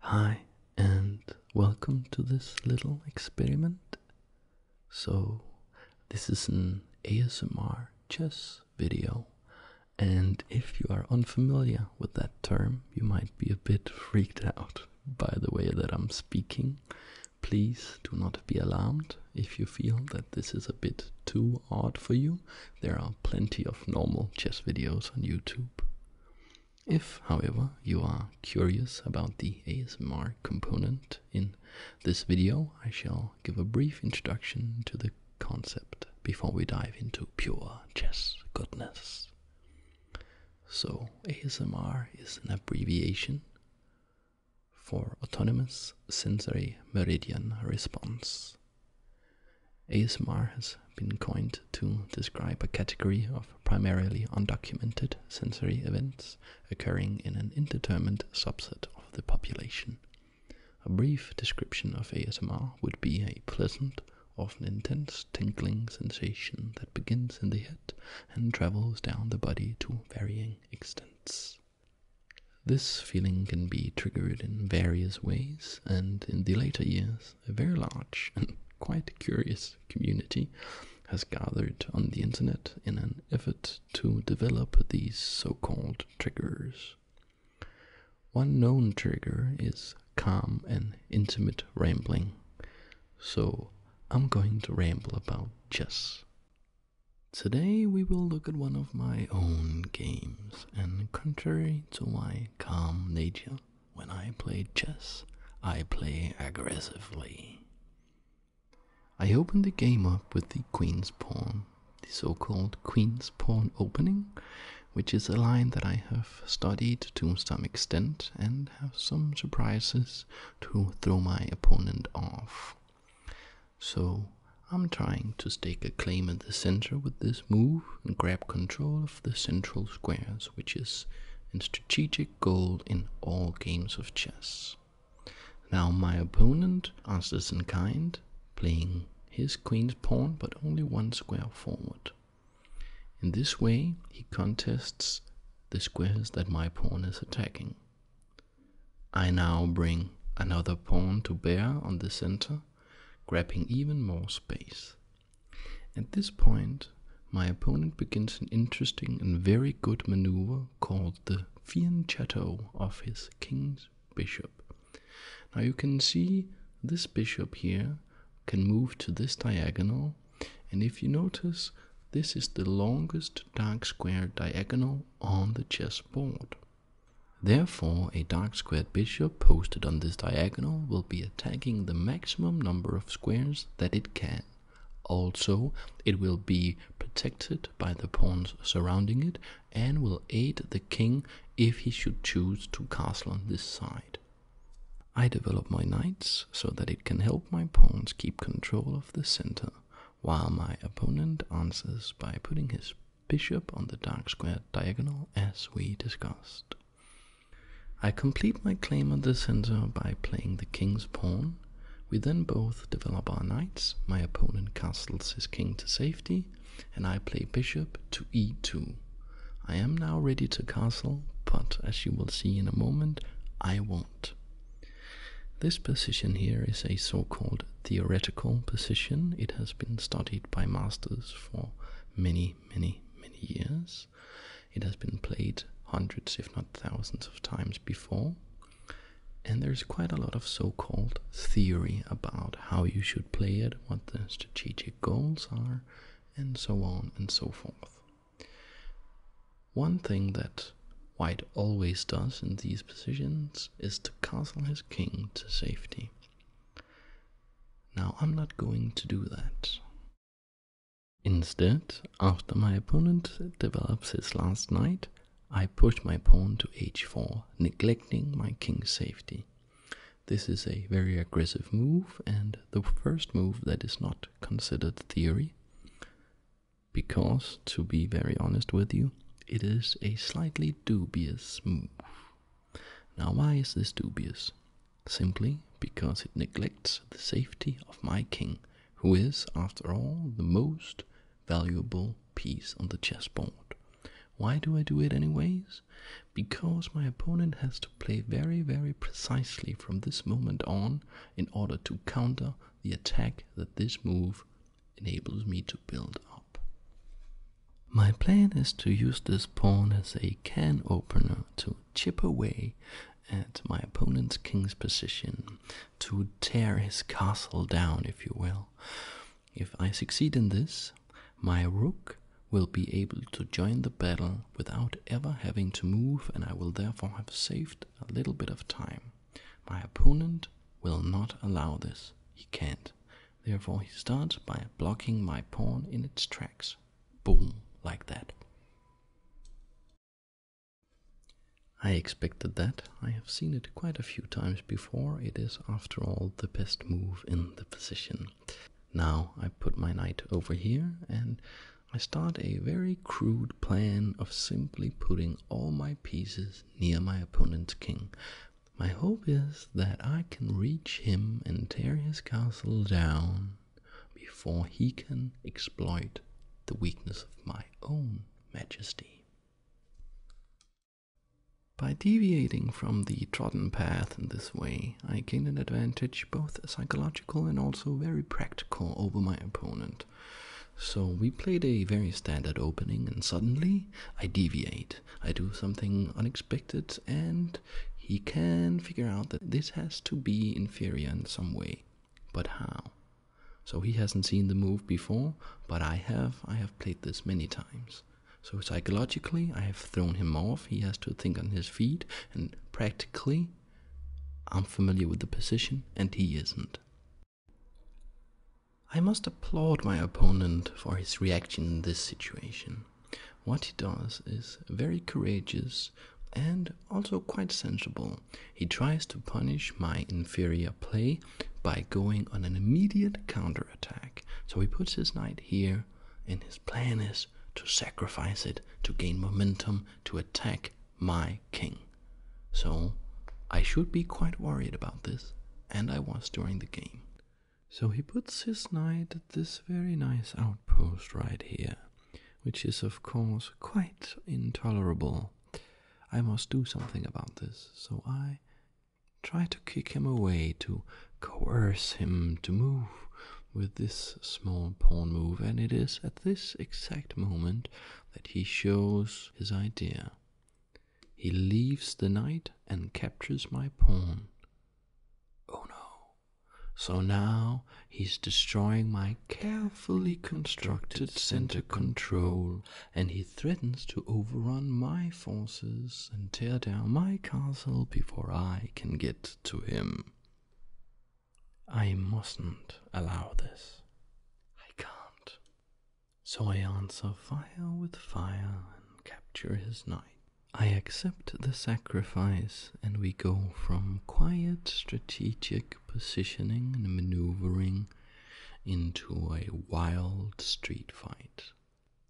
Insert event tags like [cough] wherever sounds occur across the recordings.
Hi, and welcome to this little experiment. So, this is an ASMR chess video, and if you are unfamiliar with that term, you might be a bit freaked out by the way that I'm speaking. Please do not be alarmed if you feel that this is a bit too odd for you. There are plenty of normal chess videos on YouTube. If, however, you are curious about the ASMR component in this video, I shall give a brief introduction to the concept before we dive into pure chess goodness. So, ASMR is an abbreviation for Autonomous Sensory Meridian Response. ASMR has been coined to describe a category of primarily undocumented sensory events occurring in an indeterminate subset of the population. A brief description of ASMR would be a pleasant, often intense tingling sensation that begins in the head and travels down the body to varying extents. This feeling can be triggered in various ways, and in the later years, a very large and [laughs] quite curious community has gathered on the internet in an effort to develop these so-called triggers. One known trigger is calm and intimate rambling. So I'm going to ramble about chess. Today we will look at one of my own games, and contrary to my calm nature, when I play chess, I play aggressively. I open the game up with the queen's pawn, the so called queen's pawn opening, which is a line that I have studied to some extent and have some surprises to throw my opponent off. So I'm trying to stake a claim in the center with this move and grab control of the central squares which is a strategic goal in all games of chess. Now, my opponent answers in kind, playing his queen's pawn but only one square forward. In this way, he contests the squares that my pawn is attacking. I now bring another pawn to bear on the center, grabbing even more space. At this point, my opponent begins an interesting and very good maneuver called the fianchetto of his king's bishop. Now you can see this bishop here can move to this diagonal, and if you notice, this is the longest dark square diagonal on the chessboard. Therefore, a dark squared bishop posted on this diagonal will will be attacking the maximum number of squares that it can. Also, it will be protected by the pawns surrounding it and will aid the king if he should choose to castle on this side. I develop my knights so that it can help my pawns keep control of the center, while my opponent answers by putting his bishop on the dark square diagonal as we discussed. I complete my claim on the center by playing the king's pawn. We then both develop our knights, my opponent castles his king to safety, and I play bishop to e2. I am now ready to castle, but as you will see in a moment, I won't. This position here is a so-called theoretical position. It has been studied by masters for many, many, many years it has been played hundreds, if not thousands, of times before. And there's quite a lot of so called theory about how you should play it, what the strategic goals are, and so on and so forth. One thing that White always does in these positions is to castle his king to safety. Now, I'm not going to do that. Instead, after my opponent develops his last knight, I push my pawn to h4, neglecting my king's safety. This is a very aggressive move and the first move that is not considered theory, because, to be very honest with you, it is a slightly dubious move. Now, why is this dubious? simply because it neglects the safety of my king, who is, after all, the most valuable piece on the chessboard. Why do I do it anyways? Because my opponent has to play very, very precisely from this moment on in order to counter the attack that this move enables me to build up. My plan is to use this pawn as a can opener to chip away at my opponent's king's position to tear his castle down, if you will. If I succeed in this, my rook will be able to join the battle without ever having to move, and I will therefore have saved a little bit of time. My opponent will not allow this. He can't. Therefore, he starts by blocking my pawn in its tracks. Boom, like that. I expected that. I have seen it quite a few times before. It is, after all, the best move in the position. Now I put my knight over here and I start a very crude plan of simply putting all my pieces near my opponent's king. My hope is that I can reach him and tear his castle down before he can exploit the weakness of my own majesty. By deviating from the trodden path in this way, I gain an advantage both psychological and also very practical over my opponent. So we played a very standard opening, and suddenly I deviate. I do something unexpected, and he can figure out that this has to be inferior in some way. But how? So he hasn't seen the move before, but I have. I have played this many times. So psychologically, I have thrown him off. He has to think on his feet, and practically, I'm familiar with the position, and he isn't. I must applaud my opponent for his reaction in this situation. What he does is very courageous and also quite sensible. He tries to punish my inferior play by going on an immediate counterattack. So he puts his knight here, and his plan is to sacrifice it to gain momentum to attack my king. So I should be quite worried about this, and I was during the game. So he puts his knight at this very nice outpost right here which is, of course, quite intolerable. I must do something about this, so I try to kick him away, to coerce him to move with this small pawn move, and it is at this exact moment that he shows his idea. He leaves the knight and captures my pawn. Oh no, so now he's destroying my carefully constructed center control, and he threatens to overrun my forces and tear down my castle before I can get to him. I mustn't allow this. I can't. So I answer fire with fire and capture his knight. I accept the sacrifice and we go from quiet strategic positioning and maneuvering into a wild street fight.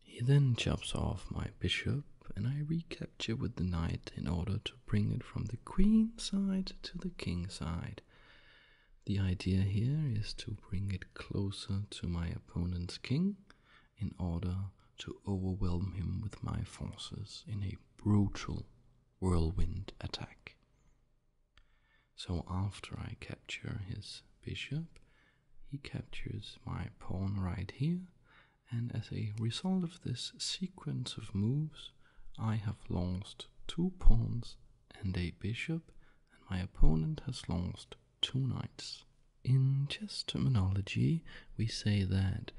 He then chops off my bishop, and I recapture with the knight in order to bring it from the queen side to the king side. The idea here is to bring it closer to my opponent's king in order to overwhelm him with my forces in a brutal whirlwind attack. So after I capture his bishop, he captures my pawn right here, and as a result of this sequence of moves, I have lost two pawns and a bishop, and my opponent has lost two knights. In chess terminology, we say that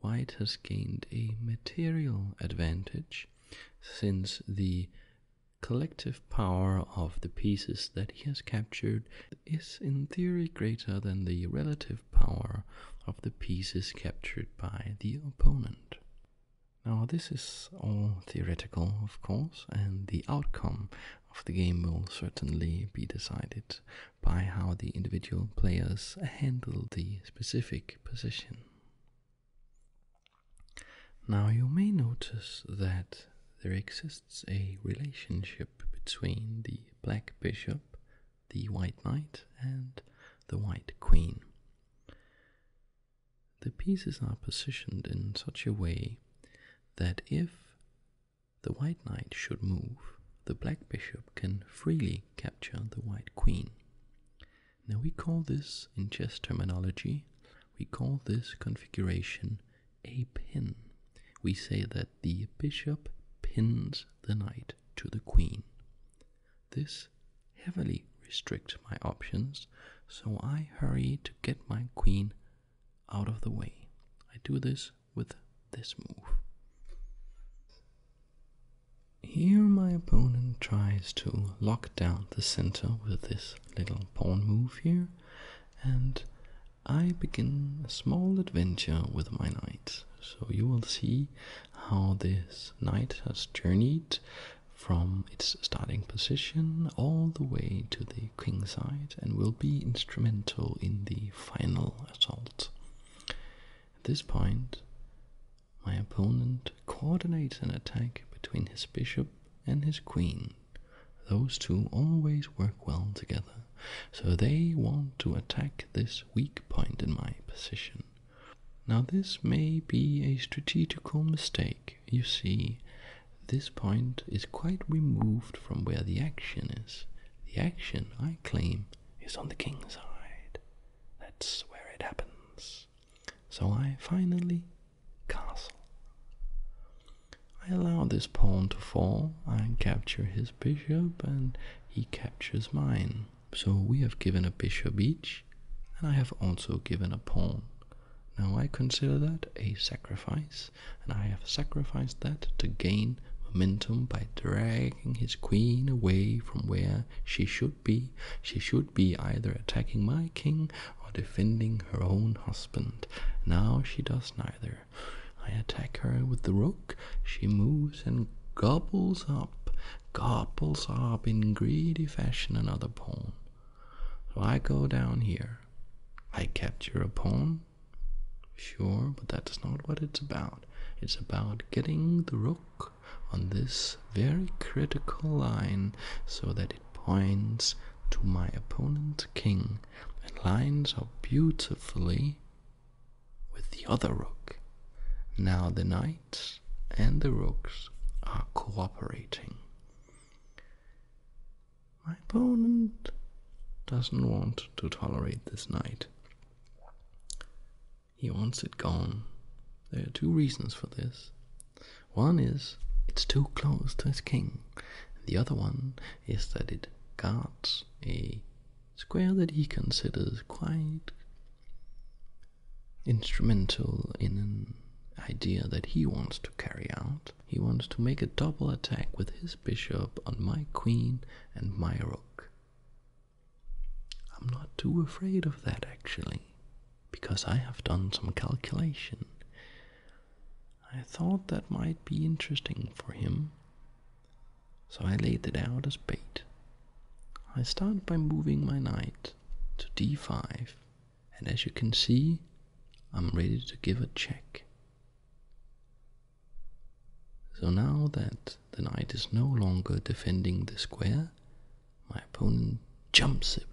white has gained a material advantage since the collective power of the pieces that he has captured is in theory greater than the relative power of the pieces captured by the opponent. Now, this is all theoretical, of course, and the outcome of the game will certainly be decided by how the individual players handle the specific position. Now, you may notice that there exists a relationship between the black bishop, the white knight, and the white queen. The pieces are positioned in such a way that if the white knight should move, the black bishop can freely the white queen. Now we call this, in chess terminology, we call this configuration a pin. We say that the bishop pins the knight to the queen. This heavily restricts my options, so I hurry to get my queen out of the way. I do this with this move. Here my opponent tries to lock down the center with this little pawn move here, and I begin a small adventure with my knight. So you will see how this knight has journeyed from its starting position all the way to the king side and will be instrumental in the final assault. At this point, my opponent coordinates an attack between his bishop and his queen. Those two always work well together, so they want to attack this weak point in my position. Now, this may be a strategical mistake. You see, this point is quite removed from where the action is. The action, I claim, is on the king's side. That's where it happens. So I finally castle. I allow this pawn to fall, I capture his bishop, and he captures mine. So we have given a bishop each, and I have also given a pawn. Now I consider that a sacrifice, and I have sacrificed that to gain momentum by drag his queen away from where she should be. She should be either attacking my king or defending her own husband. Now she does neither. I attack her with the rook, she moves and gobbles up, gobbles up in greedy fashion another pawn. So I go down here. I capture a pawn. Sure, but that's not what it's about. It's about getting the rook on this very critical line so that it points to my opponent's king and lines up beautifully with the other rook. Now the knight and the rooks are cooperating. My opponent doesn't want to tolerate this knight. He wants it gone. There are two reasons for this. One is it's too close to his king, and the other one is that it guards a square that he considers quite instrumental in an idea that he wants to carry out. He wants to make a double attack with his bishop on my queen and my rook. I'm not too afraid of that actually, because I have done some calculation. I thought that might be interesting for him, so I laid it out as bait. I start by moving my knight to d5, and as you can see, I'm ready to give a check. So now that the knight is no longer defending the square, my opponent jumps it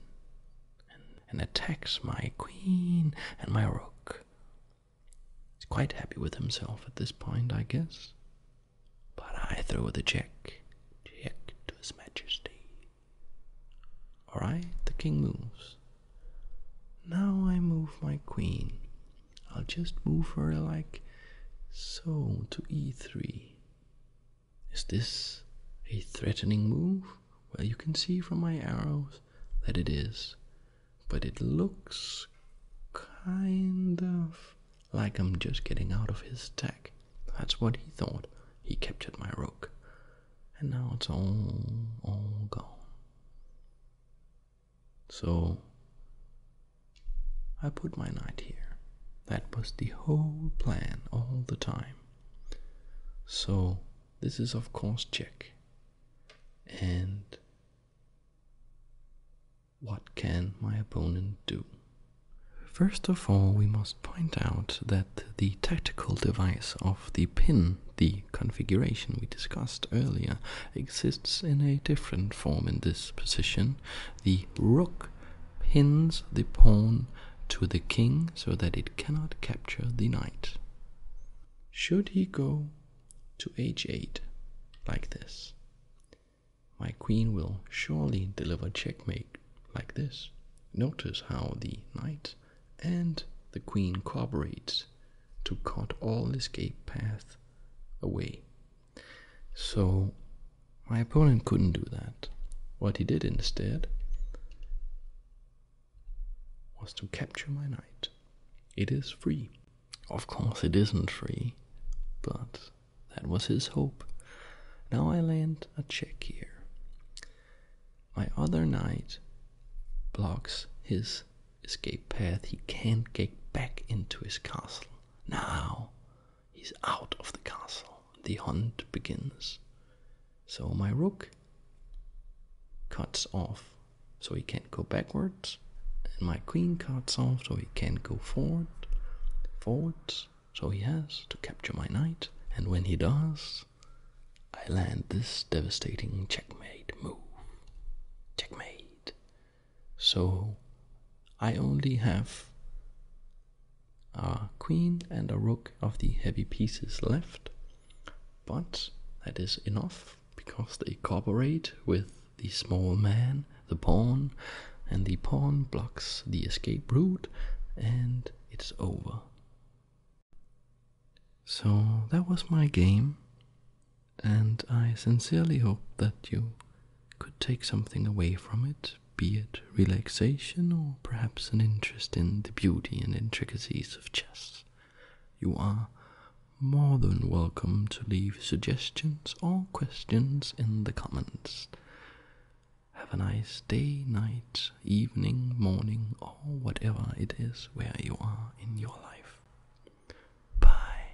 and, attacks my queen and my rook. He's quite happy with himself at this point, I guess. But I throw a check. Check to his majesty. Alright, the king moves. Now I move my queen. I'll just move her like so to e3. Is this a threatening move? Well, you can see from my arrows that it is, but it looks kind of like I'm just getting out of his attack. That's what he thought. He captured my rook, and now it's all all gone. So I put my knight here. That was the whole plan all the time. So this is of course check. And what can my opponent do? First of all, we must point out that the tactical device of the pin, the configuration we discussed earlier, exists in a different form in this position. The rook pins the pawn to the king so that it cannot capture the knight. Should he go to h8 like this, my queen will surely deliver checkmate like this. Notice how the knight and the queen cooperates to cut all escape path away so my opponent couldn't do that. What he did instead was to capture my knight. It is free. Of course, it isn't free, but that was his hope. Now I land a check here. My other knight blocks his escape path. He can't get back into his castle. Now He's out of the castle. The hunt begins. So my rook cuts off so he can't go backwards, and my queen cuts off so he can't go forward. Forwards, so he has to capture my knight, and when he does, I land this devastating checkmate move. Checkmate. So I only have a queen and a rook of the heavy pieces left, but that is enough because they cooperate with the small man, the pawn, and the pawn blocks the escape route, and it's over. So that was my game, and I sincerely hope that you could take something away from it be it relaxation or perhaps an interest in the beauty and intricacies of chess, you are more than welcome to leave suggestions or questions in the comments. Have a nice day, night, evening, morning, or whatever it is where you are in your life. Bye.